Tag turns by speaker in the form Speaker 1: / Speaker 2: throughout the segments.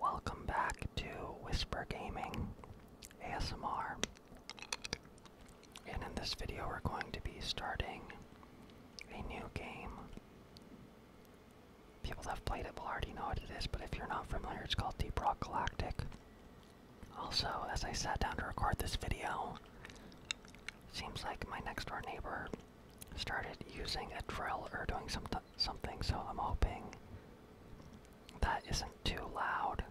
Speaker 1: Welcome back to Whisper Gaming ASMR. And in this video, we're going to be starting a new game. People that have played it will already know what it is, but if you're not familiar, it's called Deep Rock Galactic. Also, as I sat down to record this video, seems like my next door neighbor started using a drill or doing some something, so I'm hoping that isn't too loud.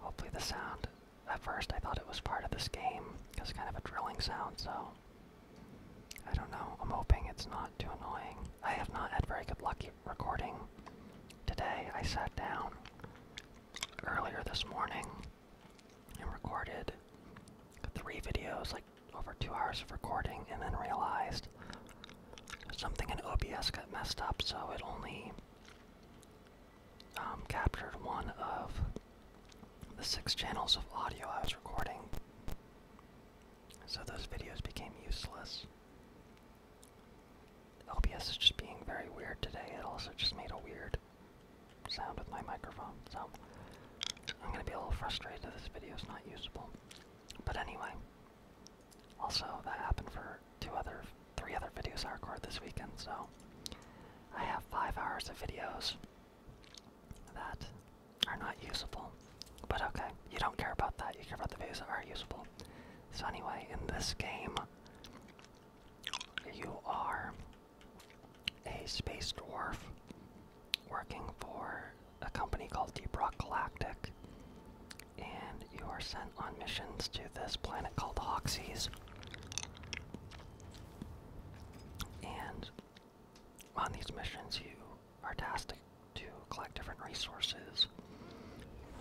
Speaker 1: Hopefully, the sound. At first, I thought it was part of this game, it's kind of a drilling sound, so. I don't know, I'm hoping it's not too annoying. I have not had very good luck recording today. I sat down earlier this morning and recorded three videos, like over two hours of recording and then realized something in OBS got messed up, so it only um, captured one of the six channels of audio I was recording. So those videos became useless. OBS is just being very weird today. It also just made a weird sound with my microphone. So I'm gonna be a little frustrated that this video is not usable. But anyway, also that happened for two other, three other videos I recorded this weekend. So I have five hours of videos that are not usable. But okay, you don't care about that. You care about the videos that are usable. So anyway, in this game, you are a space dwarf working for a company called Deep Rock Galactic, and you are sent on missions to this planet called Hoxie's. And on these missions, you are tasked to collect different resources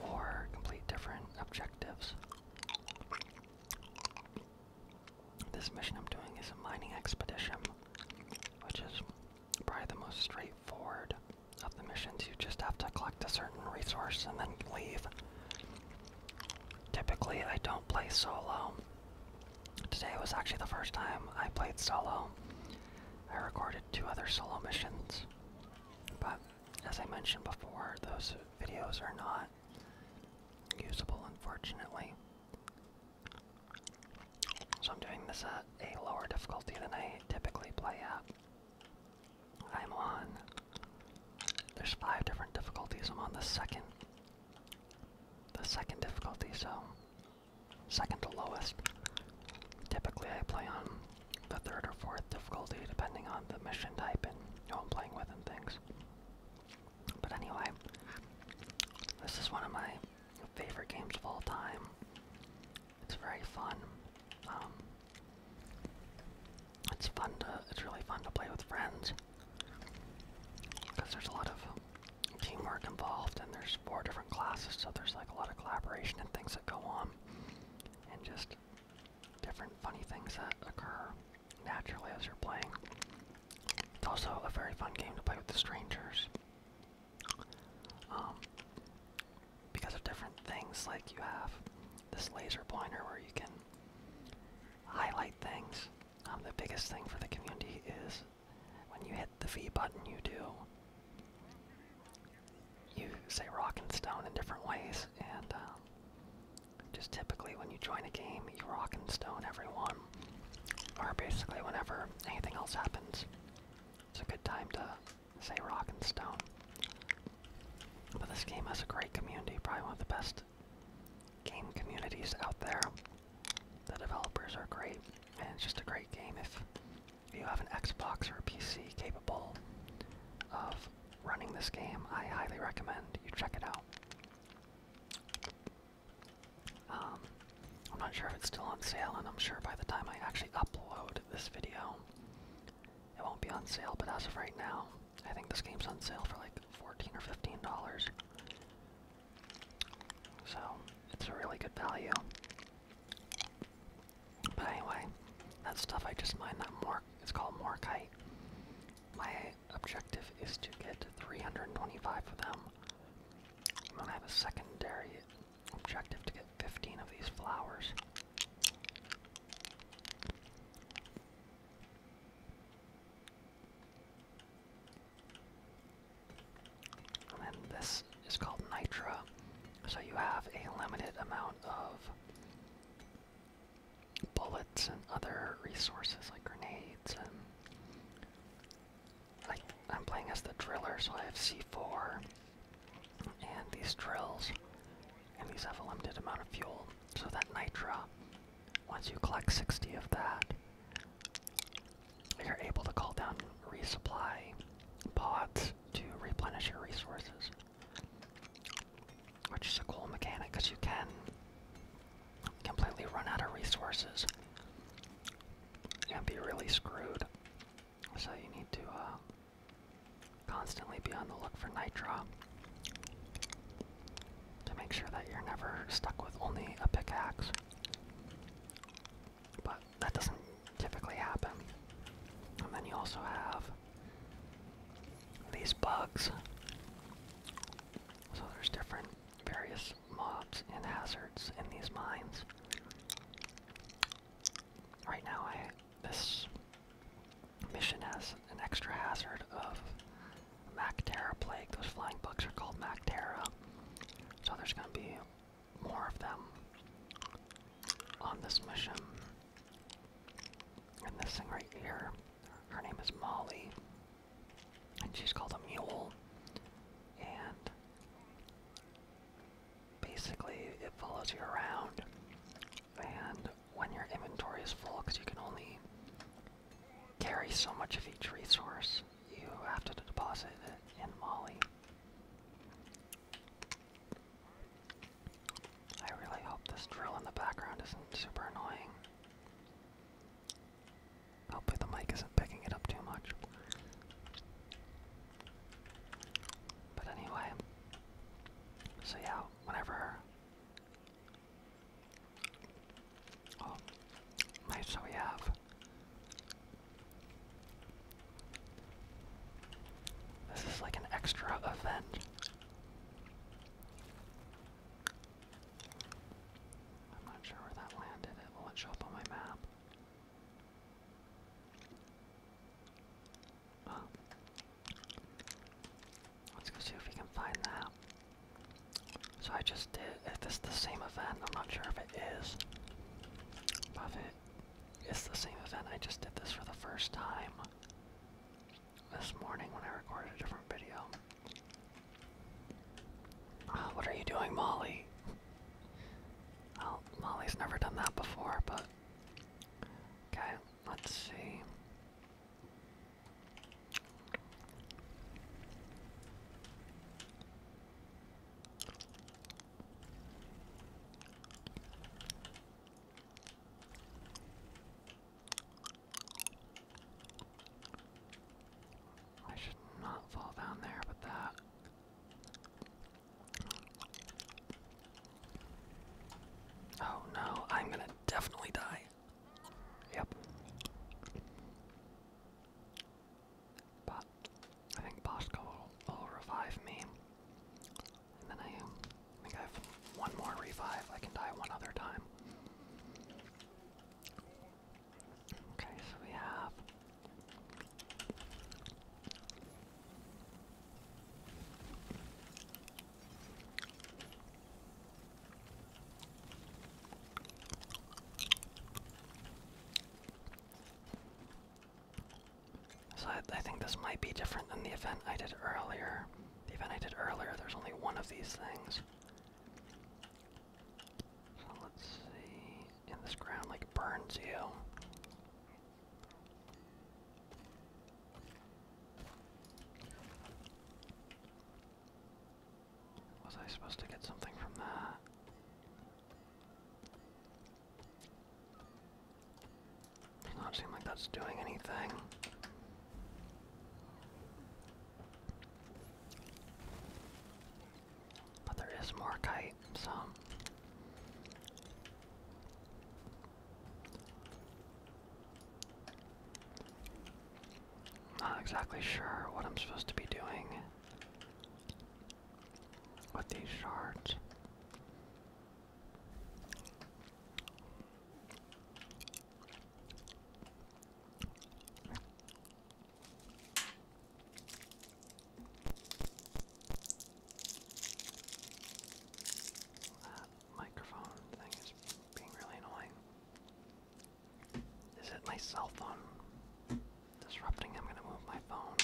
Speaker 1: or complete different objectives this mission I'm doing is a mining expedition, which is probably the most straightforward of the missions. You just have to collect a certain resource and then leave. Typically, I don't play solo. Today was actually the first time I played solo. I recorded two other solo missions, but as I mentioned before, those videos are not usable, unfortunately. So I'm doing this at a lower difficulty than I typically play at. I'm on. There's five different difficulties. I'm on the second. The second difficulty, so second to lowest. Typically, I play on the third or fourth difficulty, depending on the mission type and who I'm playing with and things. But anyway, this is one of my favorite games of all time. It's very fun. Um, it's fun to. It's really fun to play with friends because there's a lot of teamwork involved, and there's four different classes, so there's like a lot of collaboration and things that go on, and just different funny things that occur naturally as you're playing. It's also a very fun game to play with the strangers. Um, because of different things, like you have this laser pointer where you can highlight things. Um, the biggest thing for the community is when you hit the V button, you do you say rock and stone in different ways, and um, just typically when you join a game, you rock and stone everyone or basically whenever anything else happens. It's a good time to say rock and stone. But this game has a great community, probably one of the best game communities out there. The developers are great, and it's just a great game if you have an Xbox or a PC capable of running this game. I highly recommend you check it out. Um, I'm not sure if it's still on sale, and I'm sure by the time I actually upload this video, it won't be on sale. But as of right now, I think this game's on sale for like 14 dollars or 15 dollars. So it's a really good value. But anyway, that stuff I just mined, that more it's called Morkite. My objective is to get 325 of them. I'm gonna have a secondary objective to get 15 of these flowers. And this is called Nitra, so you have a limited amount of bullets and other resources like grenades and I, am playing as the driller, so I have C4 and these drills, and these have a limited amount of fuel. So that nitra, once you collect 60 of that, you're able to call down resupply pods to replenish your resources. Which is a cool mechanic because you can completely run out of resources and be really screwed. So you need to uh, constantly be on the look for nitro to make sure that you're never stuck with only a pickaxe. But that doesn't typically happen. And then you also have these bugs. So there's different various mobs, and hazards in these mines. Right now, I this mission has an extra hazard of Mactera plague. Those flying bugs are called Mactera, so there's going to be more of them on this mission. And this thing right here, her name is Molly and she's called a mule. And basically, it follows you around. And when your inventory is full, because you can only carry so much of each resource, you have to deposit it in Molly. I really hope this drill in the background isn't super annoying. Hopefully the mic isn't picking it up too much. But anyway, so yeah, whenever. Oh, nice. So we have. This is like an extra event. I'm not sure where that landed. It won't show up on my map let's go see if we can find that. So I just did, if it's the same event, I'm not sure if it is. But it is the same event, I just did this for the first time this morning when I recorded a different video. Oh, what are you doing, Molly? Well, oh, Molly's never done that before, but. Okay, let's see. I should not fall down there with that. Oh no, I'm gonna definitely die. Yep. But I think Bosco will, revive me. And then um, I think I have one more revive. I can die one other time. Okay, so we have so I, I think this might be different than the event I did earlier. The event I did earlier, there's only one of these things. So let's see. And this ground like burns you. Was I supposed to get something from that? Does not seem like that's doing anything. But there is more kite, so. Not exactly sure what I'm supposed to be doing with these shards microphone thing is being really annoying. Is it my cell phone disrupting? I'm gonna move my phone.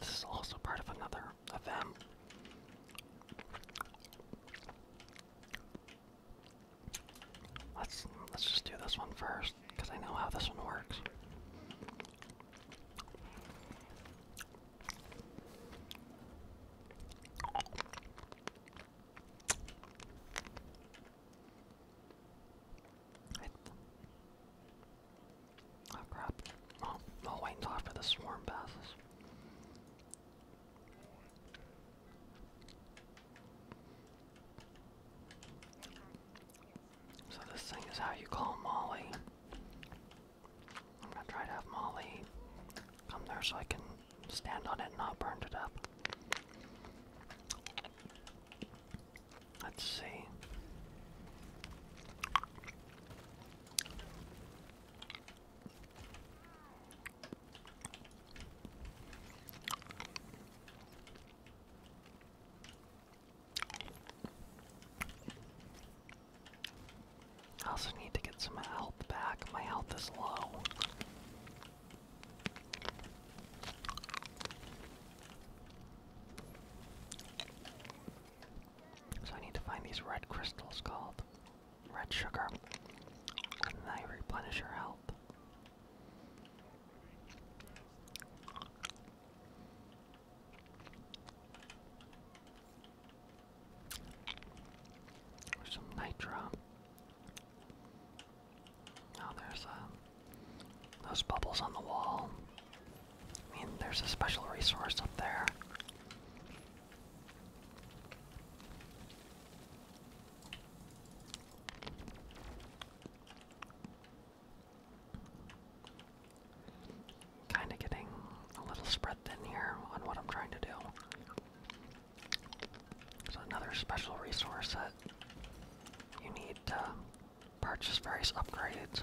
Speaker 1: This is also part of another of them. Let's let's just do this one first, because I know how this one works. Oh crap. Oh, I'll wait until after the swarm passes. So this thing is how you call Molly. I'm gonna try to have Molly come there so I can stand on it and not burn to death. Let's see. I also need to get some health back. My health is low. So I need to find these red crystals called red sugar, and they replenish your health. There's some nitro. Oh, there's uh, those bubbles on the wall. I mean, there's a special resource up there. Kinda getting a little spread thin here on what I'm trying to do. So another special resource that you need to purchase various upgrades.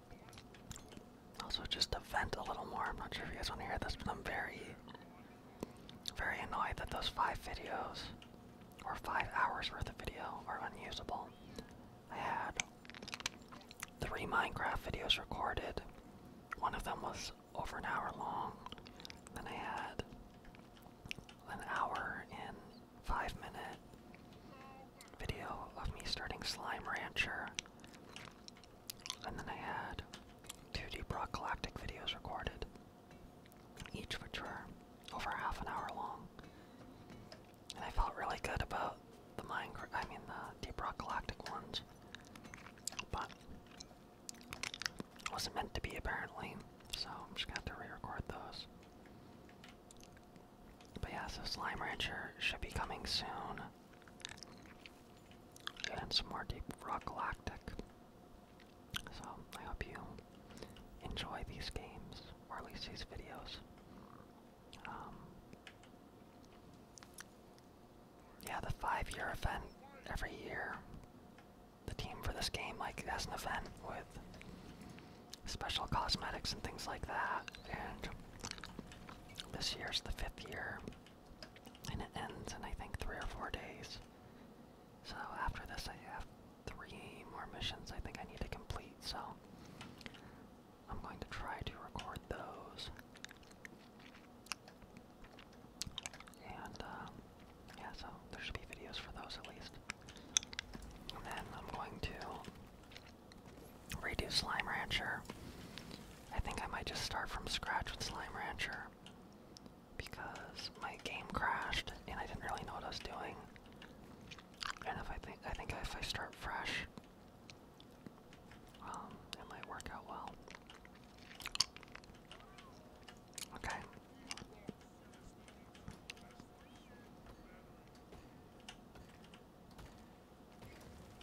Speaker 1: Also, just to vent a little more, I'm not sure if you guys want to hear this, but I'm very, very annoyed that those five videos, or five hours worth of video, are unusable. I had three Minecraft videos recorded. One of them was over an hour long. Then I had an hour in five minute video of me starting Slime Rancher. And then I had two Deep Rock Galactic videos recorded, each which were over half an hour long. And I felt really good about the Minecraft, I mean the Deep Rock Galactic ones. But it wasn't meant to be apparently, so I'm just going to re-record those. But yeah, so Slime Rancher should be coming soon. And some more Deep Rock Galactic. So I hope you enjoy these games, or at least these videos. Um, yeah, the five-year event every year. The team for this game like has an event with special cosmetics and things like that. And this year's the fifth year, and it ends in I think three or four days. So after this, I have three more missions I think I need to complete. So I'm going to try to record those. And um, yeah, so there should be videos for those at least. And then I'm going to Redo Slime Rancher. I think I might just start from scratch with Slime Rancher because my game crashed and I didn't really know what I was doing. And if I think I think if I start fresh, um, it might work out well. Okay.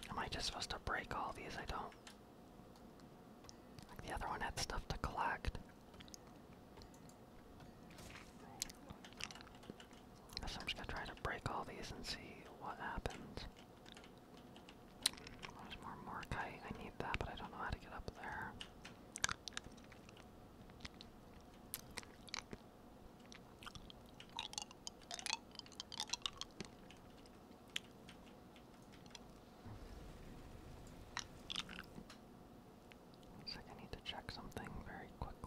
Speaker 1: Am I just supposed to break all these? I don't. Like the other one had stuff to collect. I I'm just gonna try to break all these and see what happens. Hmm, there's more morkite. I need that, but I don't know how to get up there. It's like I need to check something very quickly.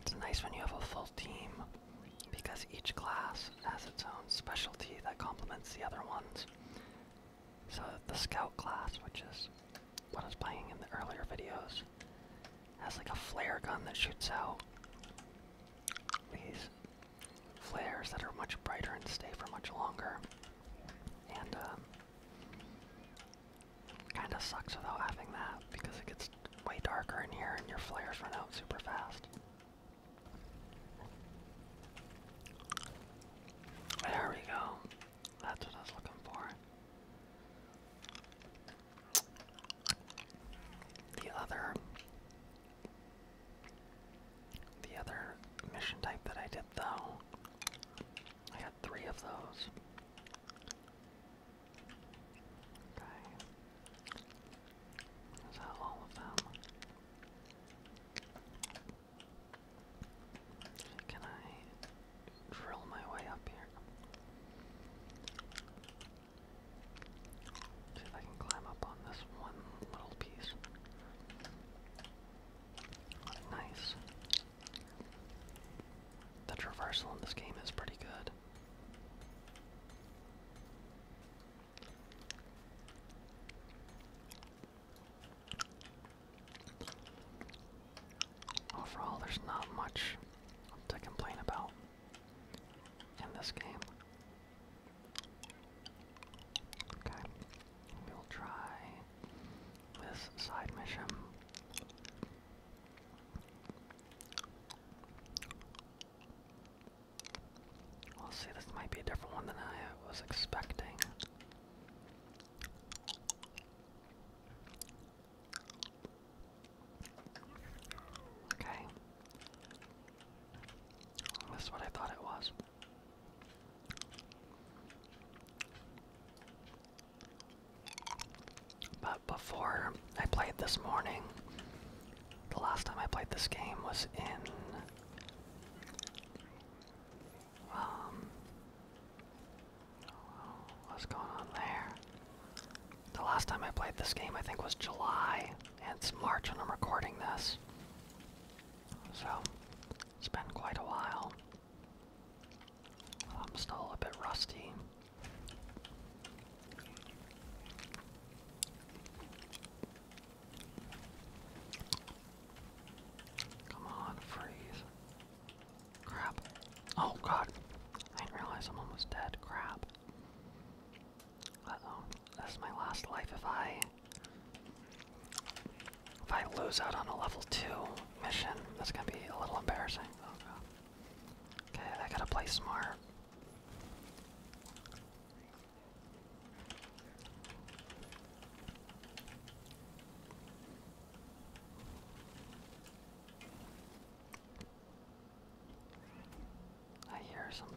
Speaker 1: It's nice when you have a full team because each class has its own specialty that complements the other ones. So the scout class, which is what I was playing in the earlier videos, has like a flare gun that shoots out these flares that are much brighter and stay for much longer. And um, Kinda sucks without having that because it gets way darker in here and your flares run out super fast. There we go. That's what I was looking for. The other the other mission type that I did though. I had three of those. Okay. Is that all of them? Can I drill my way up here? See if I can climb up on this one little piece. Nice. The traversal in this game is pretty good. Overall, there's not much to complain about in this game. Okay. We'll try this side mission. We'll see, this might be a different one than I was expecting. Okay. That's what I thought it was. But before I played this morning, the last time I played this game was in. Um, what's going on there? The last time I played this game, I think, was July, and it's March when I'm recording this. So, it's been quite a while. I'm still a bit rusty. Come on, freeze. Crap. Oh god. I didn't realize I'm dead. Crap. That's my last life if I if I lose out on a level 2 mission, that's gonna be a little embarrassing. Oh, okay, I gotta play smart. I hear something.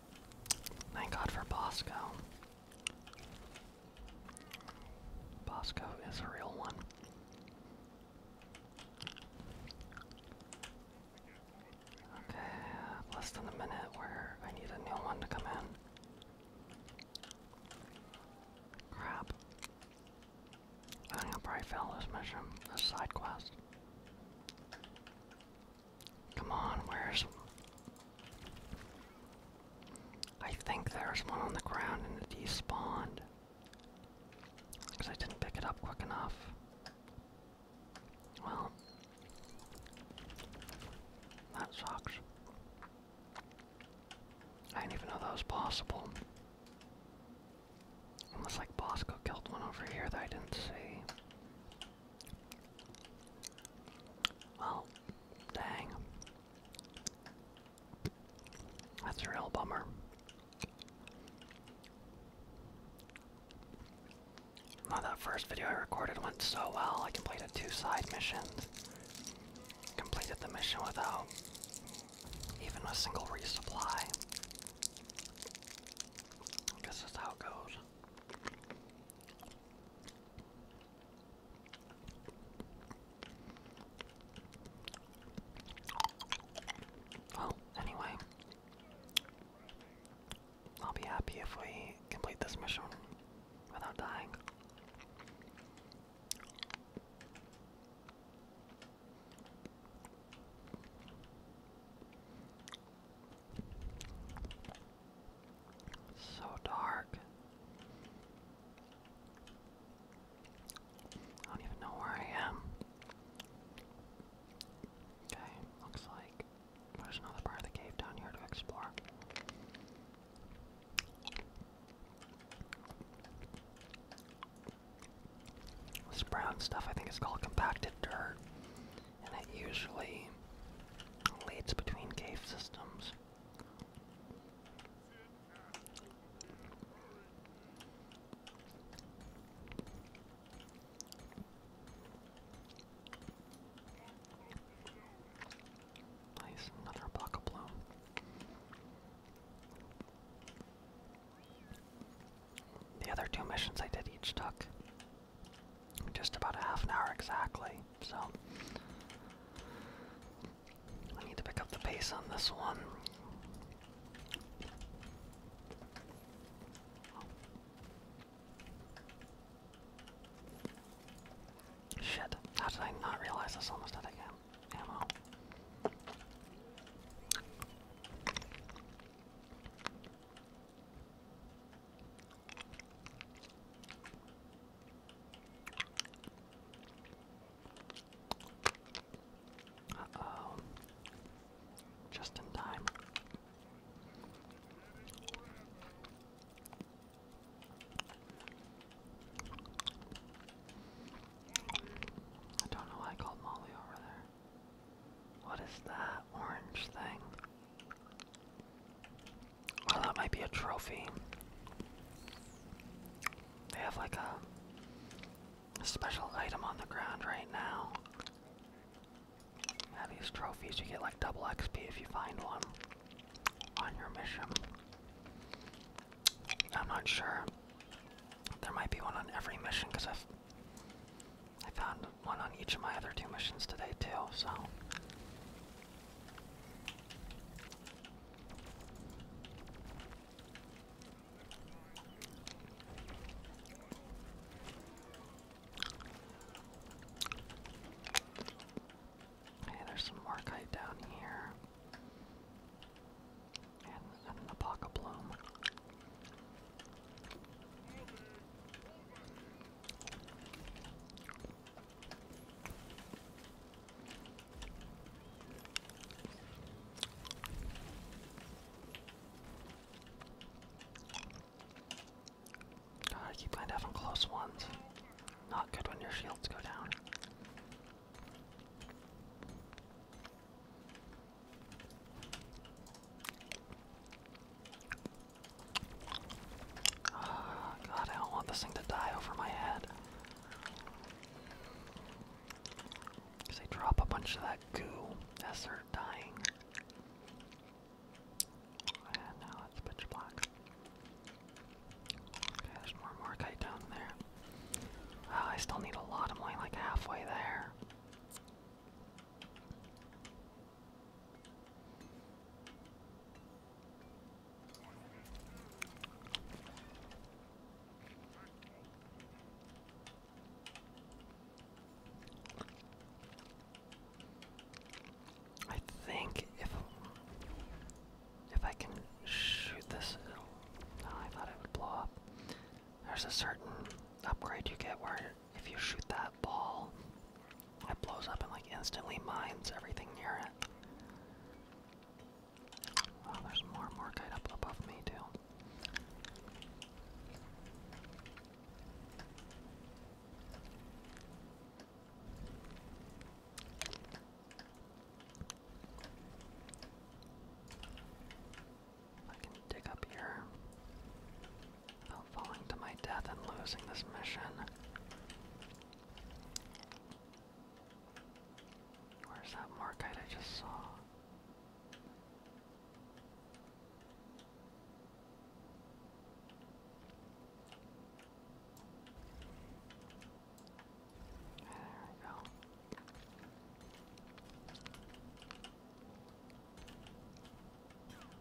Speaker 1: Thank God for Bosco. Bosco is a real one. Okay, uh, less than a minute where I need a new one to come in. Crap. I think I probably failed this mission, this side quest. Come on, where's. I think there's one on the ground and it despawned. Because I didn't pick it up quick enough. Well. That sucks. I didn't even know that was possible. Unless, like, Bosco killed one over here that I didn't see. Well, dang. That's a real bummer. Well, that first video I recorded went so well. I completed two side missions. Completed the mission without even a single resupply. guess that's how it goes. Well, anyway, I'll be happy if we complete this mission without dying. It's so dark. I don't even know where I am. Okay, looks like there's another part of the cave down here to explore. This brown stuff I think is called compacted dirt and it usually leads between cave systems. Place another block of bloom. The other two missions I did each took just about a half an hour exactly, so I need to pick up the pace on this one. Shit, how did I not realize this almost again? Ammo. Uh oh. Just in time. I don't know why I called Molly over there. What is that orange thing? Oh, that might be a trophy. They have like a, special item on the ground right now. Now these trophies, you get like double XP if you find one on your mission. I'm not sure. There might be one on every mission because I've I found one on each of my other two missions today, too, so. Okay, there's some more down here. And, an apoca bloom. God, ah, I keep going down on close ones. Not good when your shields go down. Oh, God, I don't want this thing to die over my head. they drop a bunch of that goo as they're dying. And now it's pitch black. Okay, there's more Morkite down there. Ah, I still need a lot. of money, like halfway there. I think if if I can shoot this, oh, I thought it would blow up. There's a certain upgrade you get where if you shoot that ball, it blows up and like instantly mines everything near it. Oh, there's more and more kite up above me too. I can dig up here without falling to my death and losing this mission. Where's that Markite I just saw? There we go.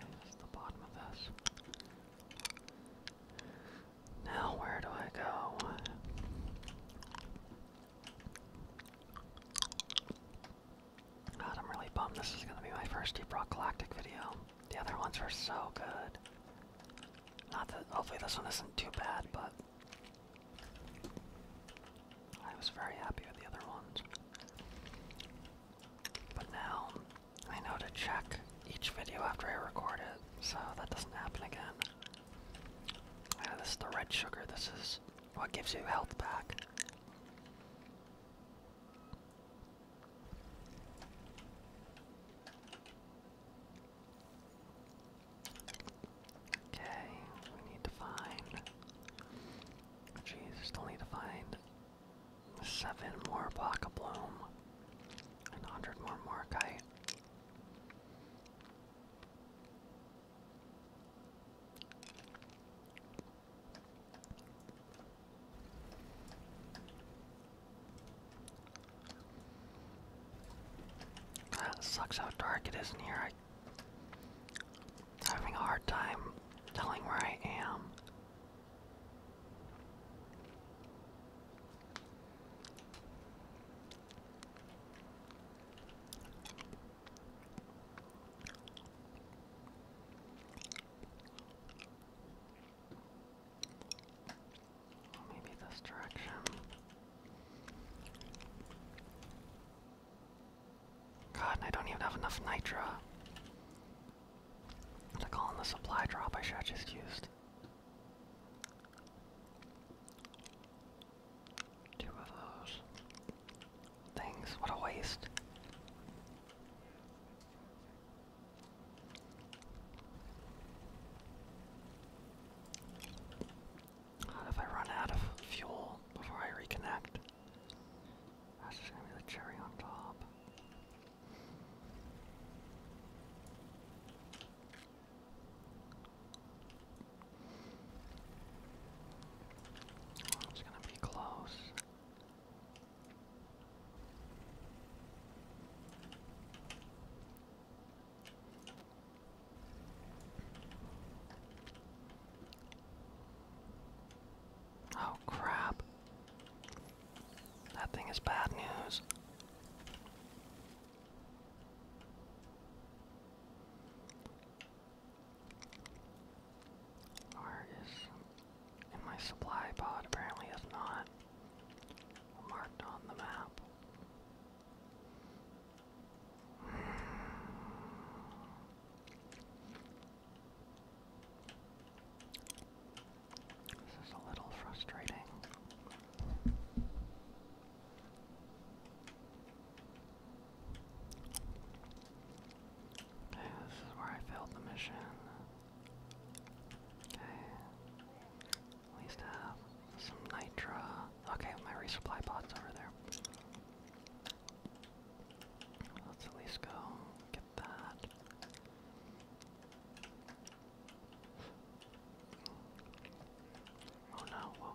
Speaker 1: And the bottom of this. Now, where do I go? God, I'm really bummed this is gonna be my first Deep Rock Galactic video. The other ones were so good. Not that hopefully this one isn't too bad, but I was very happy with the other ones. But now I know to check each video after I record it, so that doesn't happen again. Yeah, uh, this is the red sugar, this is what gives you health back. Okay, we need to find. Jeez, still need to find seven more Baka Bloom and 100 more Morkite. That sucks how dark it is in here. I'm having a hard time telling where I am. Maybe this direction. God, I don't even have enough nitra to call in the supply drop I should just used. Two of those things. What a waste. Not if I run out of fuel before I reconnect. That's just gonna be the cherry on top. it's gonna be close. Oh, crap. That thing is bad news. Or is my supply pod apparently is not marked on the map. This is a little frustrating. this is where I failed the mission. At least have some nitra. Okay, my resupply pot's over there. Let's at least go get that. Oh no, whoa.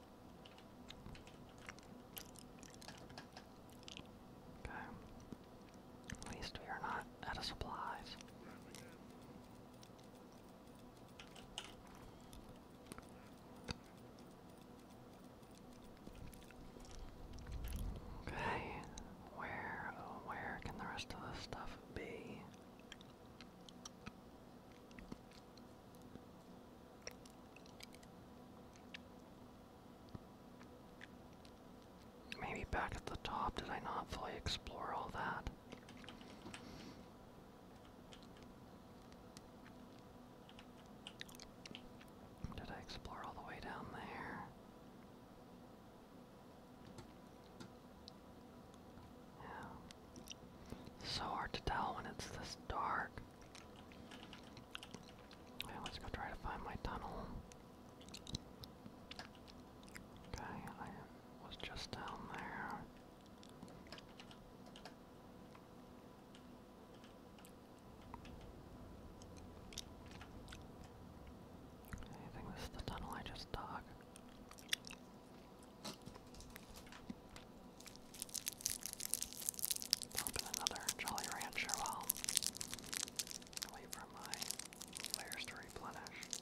Speaker 1: Okay. At least we are not out of supplies. Okay, where, where can the rest of this stuff be? Maybe back at the top, did I not fully explore all that? Did I explore all the way down there? Yeah. So hard to tell when it's this dark. Okay, let's go try to find my tunnel. Okay, I was just down there. I think this is the tunnel I just dug. Open another Jolly Rancher while I wait for my players to replenish.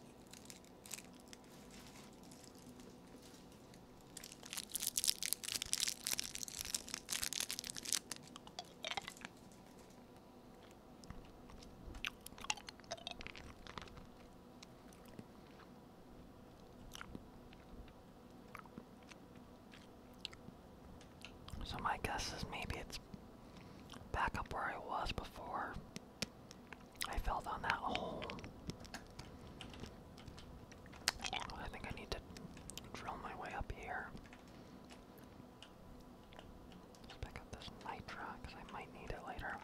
Speaker 1: So my guess is maybe it's back up where I was before I fell down that hole. I think I need to drill my way up here. Let's pick up this nitro because I might need it later.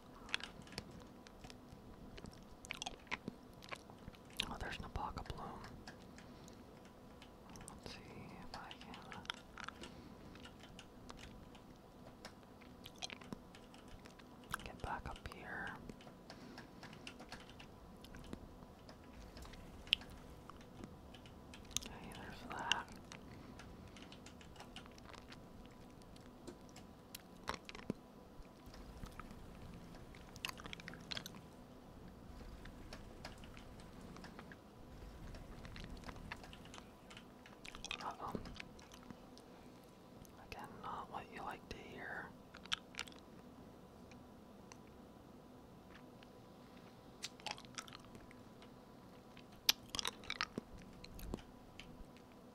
Speaker 1: Oh, there's an bloom. Let's see if I can. Get back up here. Hey, there's that. Again, not what you like to hear.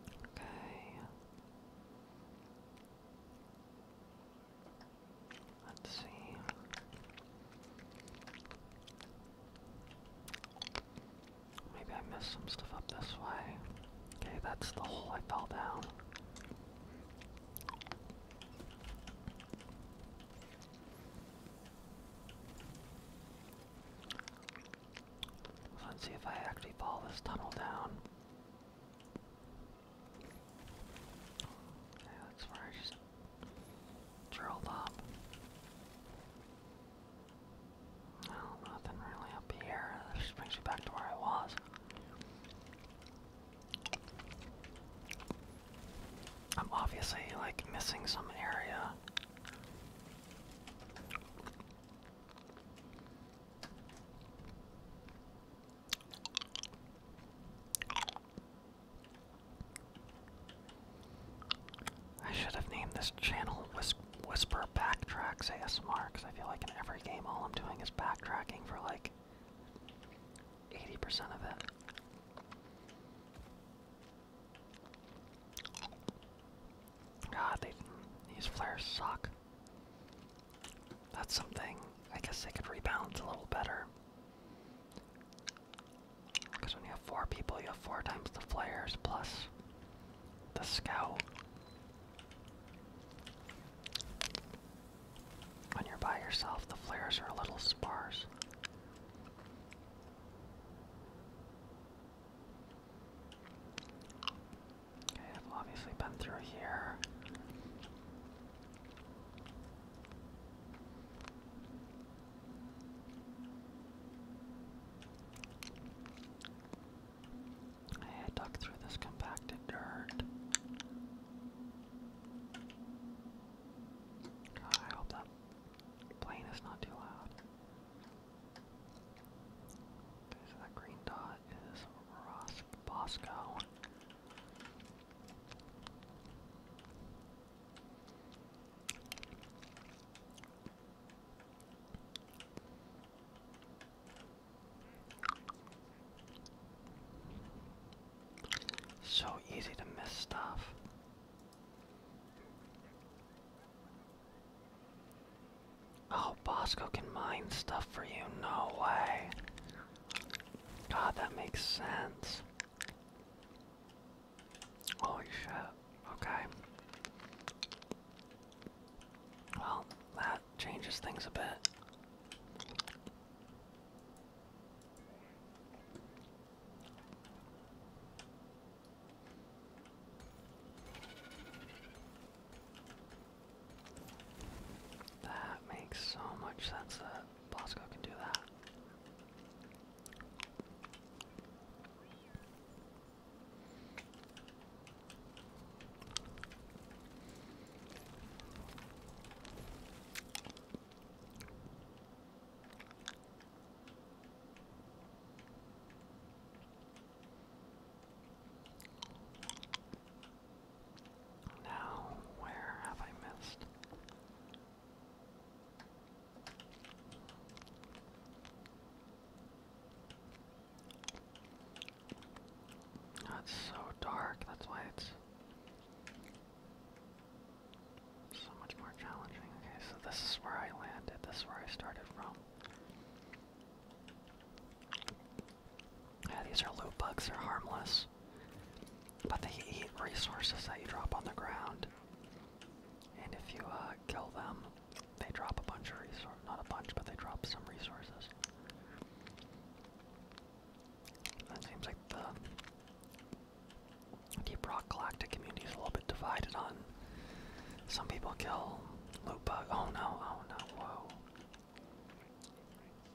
Speaker 1: Okay. Let's see. Maybe I missed some stuff up this way. Okay, that's the hole I fell down. Let's see if I actually fall this tunnel down that's where I just drilled up. Well, nothing really up here. That brings me back to where I was. I'm obviously like missing some area. I should have named this channel Whisper Backtracks ASMR because I feel like in every game all I'm doing is backtracking for like 80% of it. God, these flares suck that's something. I guess they could rebalance a little better. Because when you have four people, you have four times the flares plus the scout. When you're by yourself, the flares are a little sparse. I've obviously been through here. I had to dug through this compacted dirt. God, I hope that plane is not too loud. Okay, so that green dot is Ros so easy to miss stuff. Oh, Bosco can mine stuff for you. No way. God, that makes sense. Holy shit. Okay. Well, that changes things a bit. That makes so much sense. Bosco can do that. Now, where have I missed? That's oh, so dark, that's why it's so much more challenging. Okay, so this is where I landed, this is where I started from. Yeah, these are loot bugs, they're harmless. But they eat resources that you drop on the ground. And if you uh, kill them, they drop a bunch of resources. Not a bunch, but they drop some resources. That seems like the Deep Rock Galactic community is a little bit divided on. Some people kill Lupa. Oh no, oh no, whoa.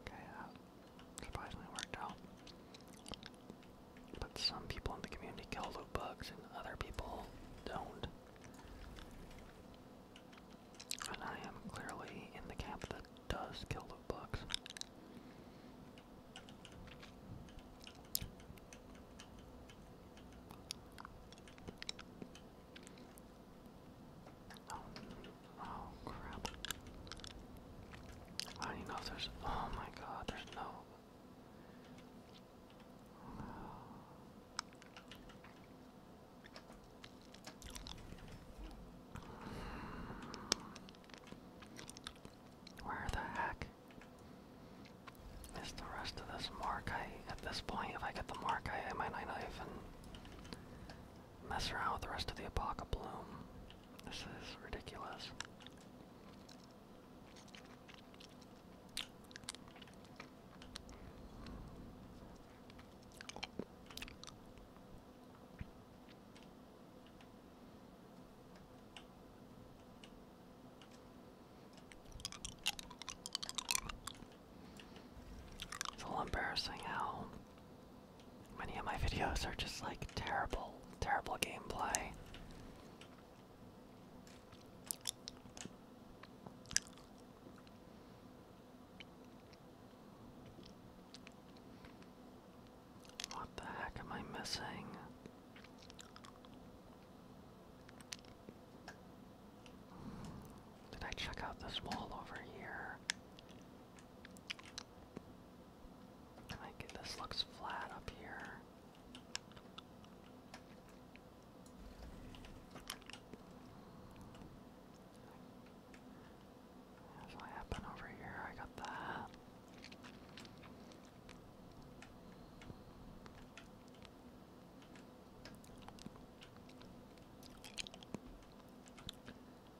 Speaker 1: Okay, uh, surprisingly worked out. But some people in the community kill loot bugs and other people don't. And I am clearly in the camp that does kill loot bugs. Oh, Oh crap. I don't even know if there's oh my god, there's no where the heck Miss the rest of this mark? I at this point, if I get the mark, I, I might not even mess around with the rest of the Apoca Bloom. This is ridiculous. It's a little embarrassing how Many of my videos are just like terrible, terrible gameplay. What the heck am I missing? Did I check out this wall over here? Like this looks flat up here. what happened over here. I got that.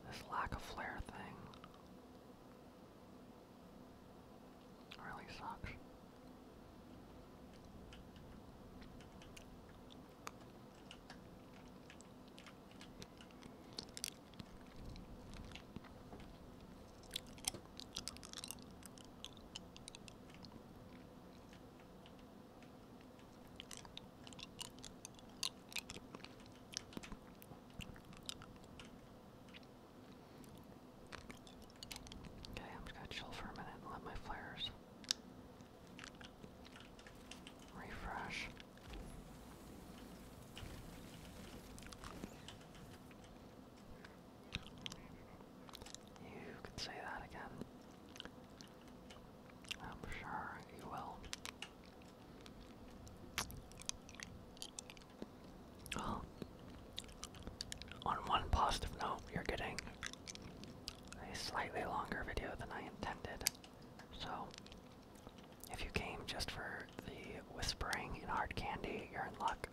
Speaker 1: This lack of flare thing. Really sucks. Okay, I'm just gonna chill for a minute and let my flares refresh. You could say that again. I'm sure you will. Oh. on one positive note, you're getting a slightly longer video than I intended. So, if you came just for the whispering and hard candy, you're in luck.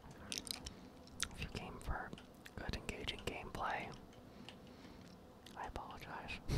Speaker 1: If you came for good engaging gameplay, I apologize.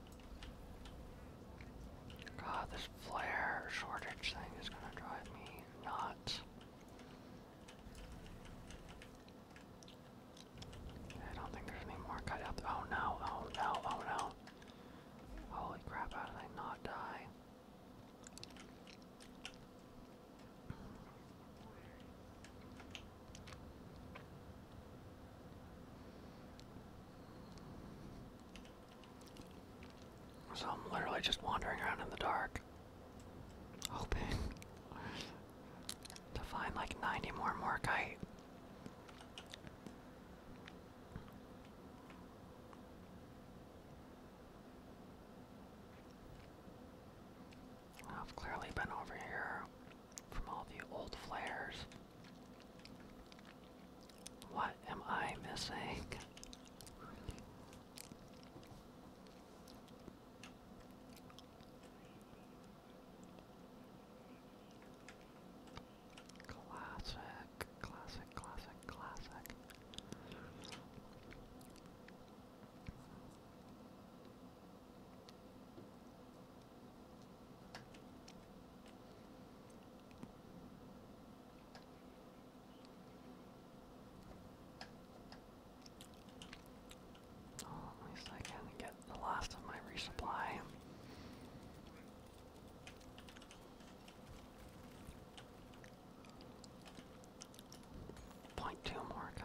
Speaker 1: God, this flare shortage thing is gonna drive me nuts. I don't think there's any more cut out. Oh no, oh no, oh no. Holy crap, how did I not die? So I'm literally just wandering around in the dark, hoping to find like 90 more morkite. I've clearly been over here from all the old flares. What am I missing? Classic, classic, classic, classic. Oh, at least I can get the last of my resupply. Point two more guy.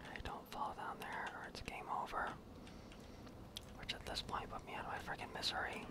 Speaker 1: I don't fall down there or it's game over. Which at this point put me out of my freaking misery.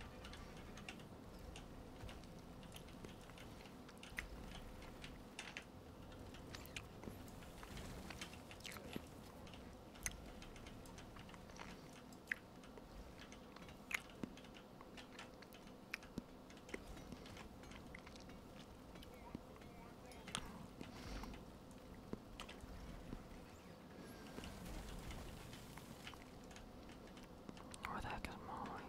Speaker 1: Where the heck is Molly?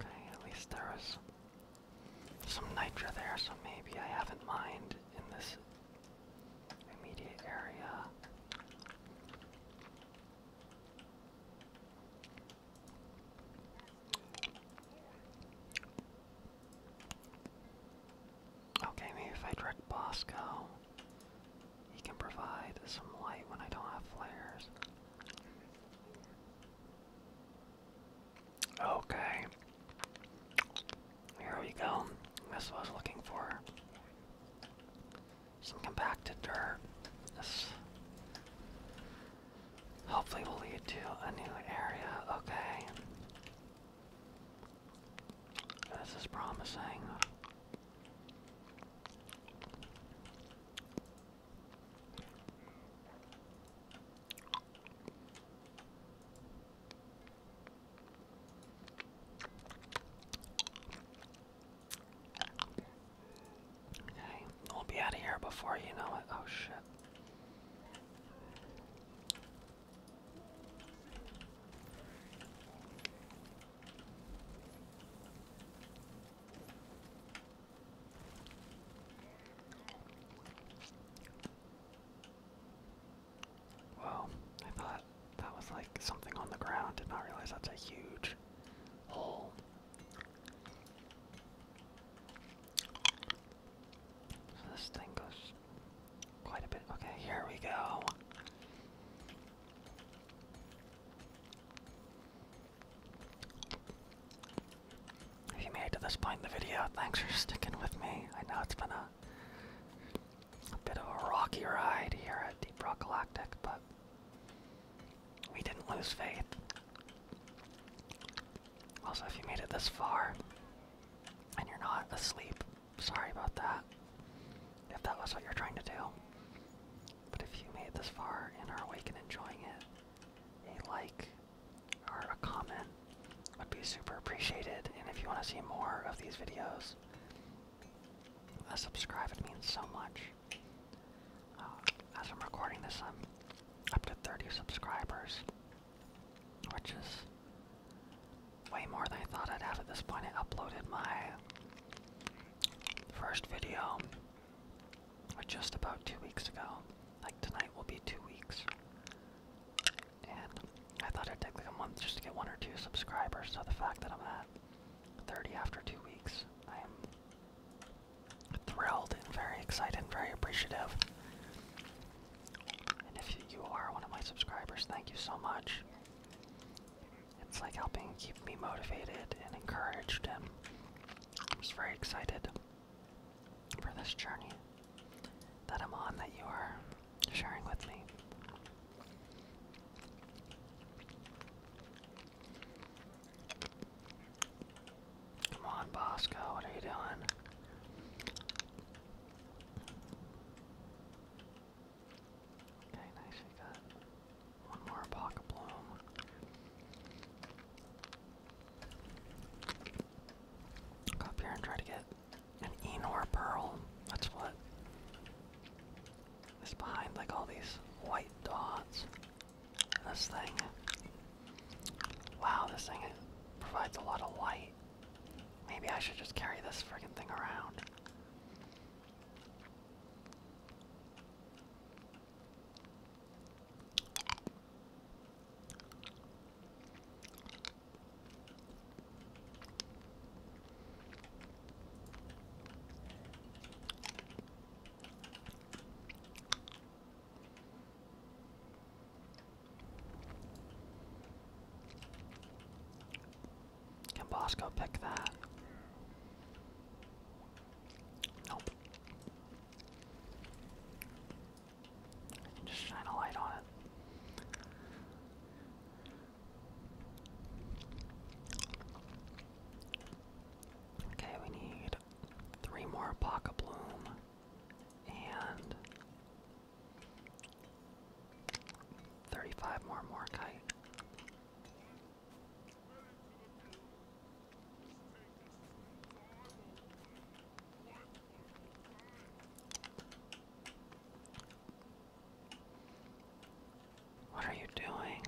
Speaker 1: Okay, at least there was some nitra there, so maybe I haven't mined in this immediate area. Okay, maybe if I trick Bosco, he can provide some light when I don't have flares. Okay. Here we go. This was looking for some compacted dirt. hopefully will lead to a new area. Okay. This is promising. Okay, we'll be out of here before you know it. Oh shit. Well, I thought that was like something on the ground, did not realize that's a huge hole. this thing goes quite a bit. Okay, here we go. If you made it to this point in the video, thanks for sticking with me. I know it's been a, a bit of a rocky ride here at Deep Rock Galactic, but we didn't lose faith. Also, if you made it this far and you're not asleep, sorry about that. If that was what you're trying to do. But if you made it this far and are awake and enjoying it, a like or a comment would be super appreciated. And if you want to see more of these videos, uh, subscribe. It means so much. Uh, as I'm recording this, I'm up to 30 subscribers, which is way more than I thought I'd have at this point. I uploaded my first video or just about two weeks ago. Like tonight will be two weeks. And I thought it'd take like a month just to get one or two subscribers, so the fact that I'm at 30 after two weeks, I am thrilled and very excited and very appreciative. And if you are one of my subscribers, thank you so much. It's like helping keep me motivated and encouraged and I am just very excited for this journey that I'm on that you are sharing with me. Come on, Bosco, what are you doing? Okay, nice, we one more pocket bloom. up here and try to get an Enor pearl. That's what is behind like all these white dots. This thing. Wow, this thing provides a lot of light. Maybe I should just carry this frigging thing around. Can Bosco pick that? Nope just shine a light on it. Okay, we need three more Pocket Bloom and 35 more Morkite. What are you doing?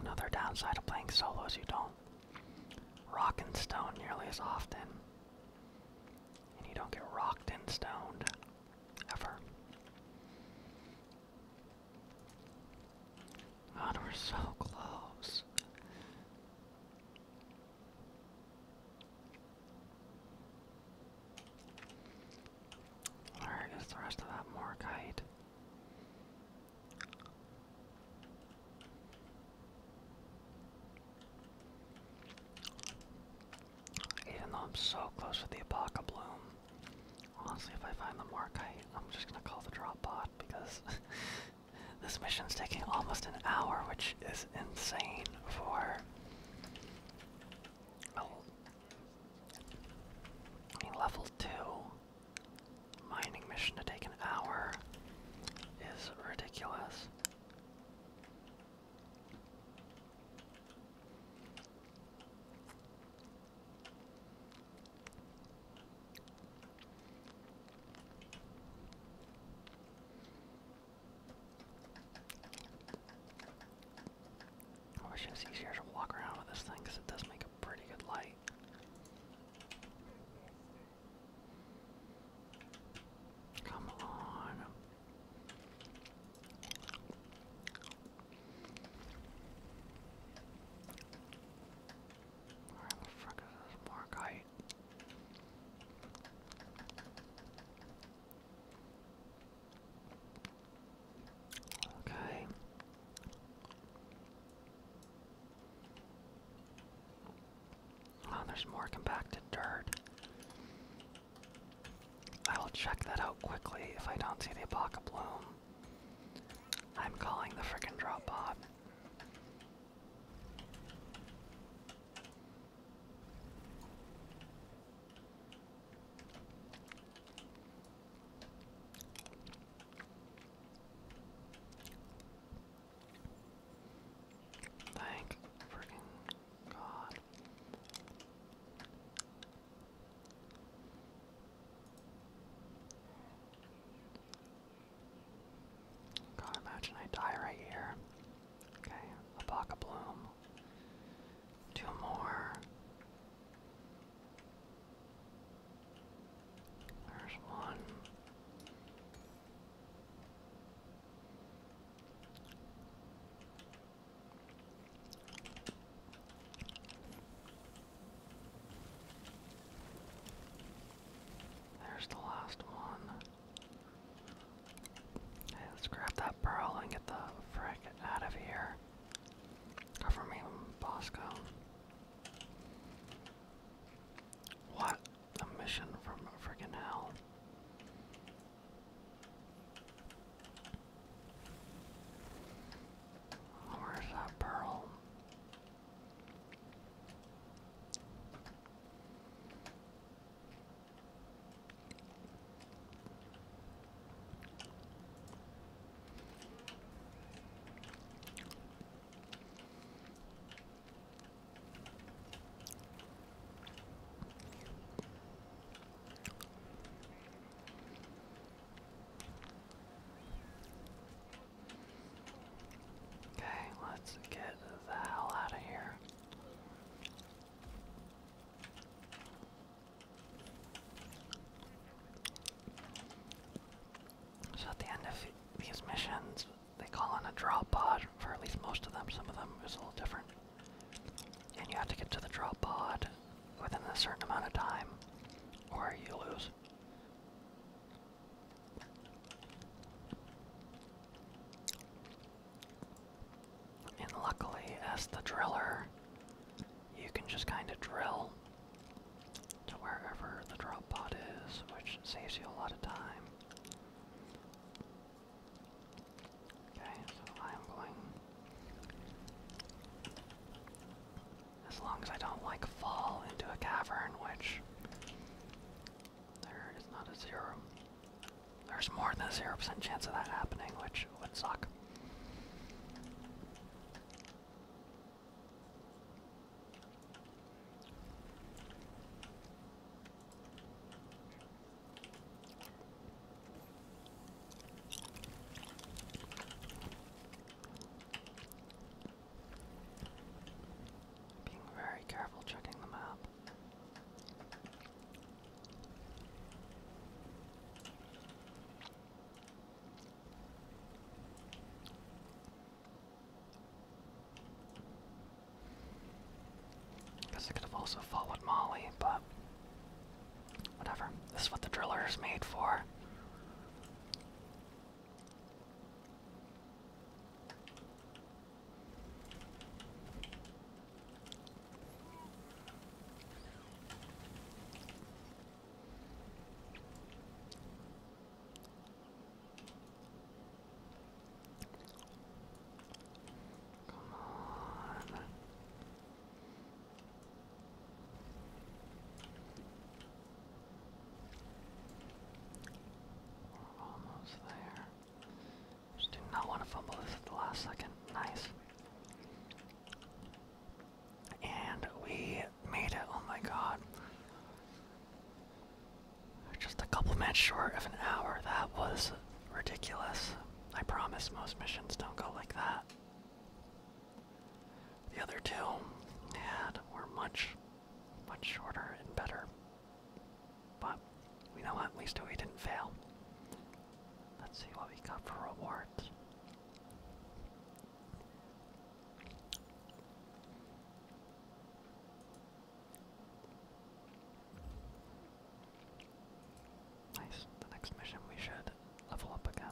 Speaker 1: Another downside of playing solos you don't rock and stone nearly as often. And you don't get rocked and stoned ever. God, we're so close. Where is the rest of that more kite? Even though I'm so close to the Apoca Bloom, honestly, if I find the Morkite, I'm just gonna call the drop pod because this mission's taking almost an hour, which is insane for Oh. level 2, mining mission to take an hour is ridiculous. Oh, I wish it was easier to walk around with this thing because it does make a pretty good light. Come on. Alright, the frick is this more Okay. Oh, there's more compacted dirt. I will check that out quickly if I don't see the apoca bloom. I'm calling the frickin' drop pod. Thank freaking God. God, imagine I die right here. Okay, a block bloom. Two more. There's one. There's the last one. Hey, let's grab that pearl and get the frick out of here. Cover me, Bosco. What a mission from friggin' hell. Where's that pearl? Okay, let's get the hell out of here. So at the end of these missions, they call in a drop pod for at least most of them. Some of them is a little different, and you have to get to the drop pod within a certain amount of time, or you lose. And luckily, as the driller, you can just kind of drill to wherever the drop pod is, which saves you a lot of time. Okay, so I'm going. As long as I don't like fall into a cavern, which there is not a zero. There's more than a 0% chance of that happening, which would suck. Being very careful checking the map. Guess I could have also followed Molly, but whatever. This is what the drillers made for. Come on. We're almost there. Just do not want to fumble this at the last second. Nice. And we made it, oh my god. Just a couple minutes short of an hour. That was ridiculous. I promise most missions don't go like that. The other two had were much, much shorter and better. But you know what? At least we didn't fail. Let's see what we got for rewards. Nice. The next mission we should level up again.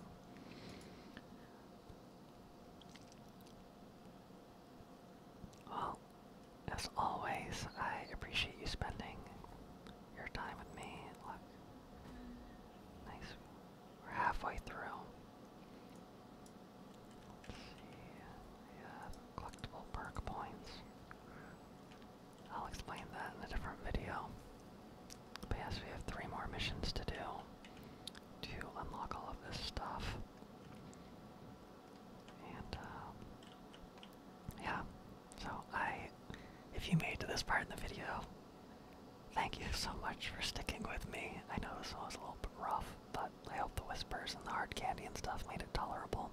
Speaker 1: Well, as always, I appreciate you spending your time with me. Look. Nice. We're halfway through. collectible perk points. I'll explain that in a different video. But yes, we have three more missions to do to unlock all of this stuff. And, um, yeah. So, I. If you made to this part in the video, Thank you so much for sticking with me. I know this was a little bit rough, but I hope the whispers and the hard candy and stuff made it tolerable.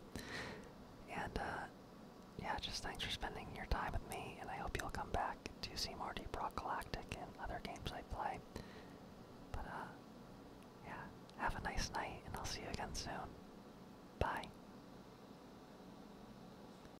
Speaker 1: And, uh, yeah, just thanks for spending your time with me, and I hope you'll come back to see more Deep Rock Galactic and other games I play. But, uh, yeah, have a nice night, and I'll see you again soon. Bye.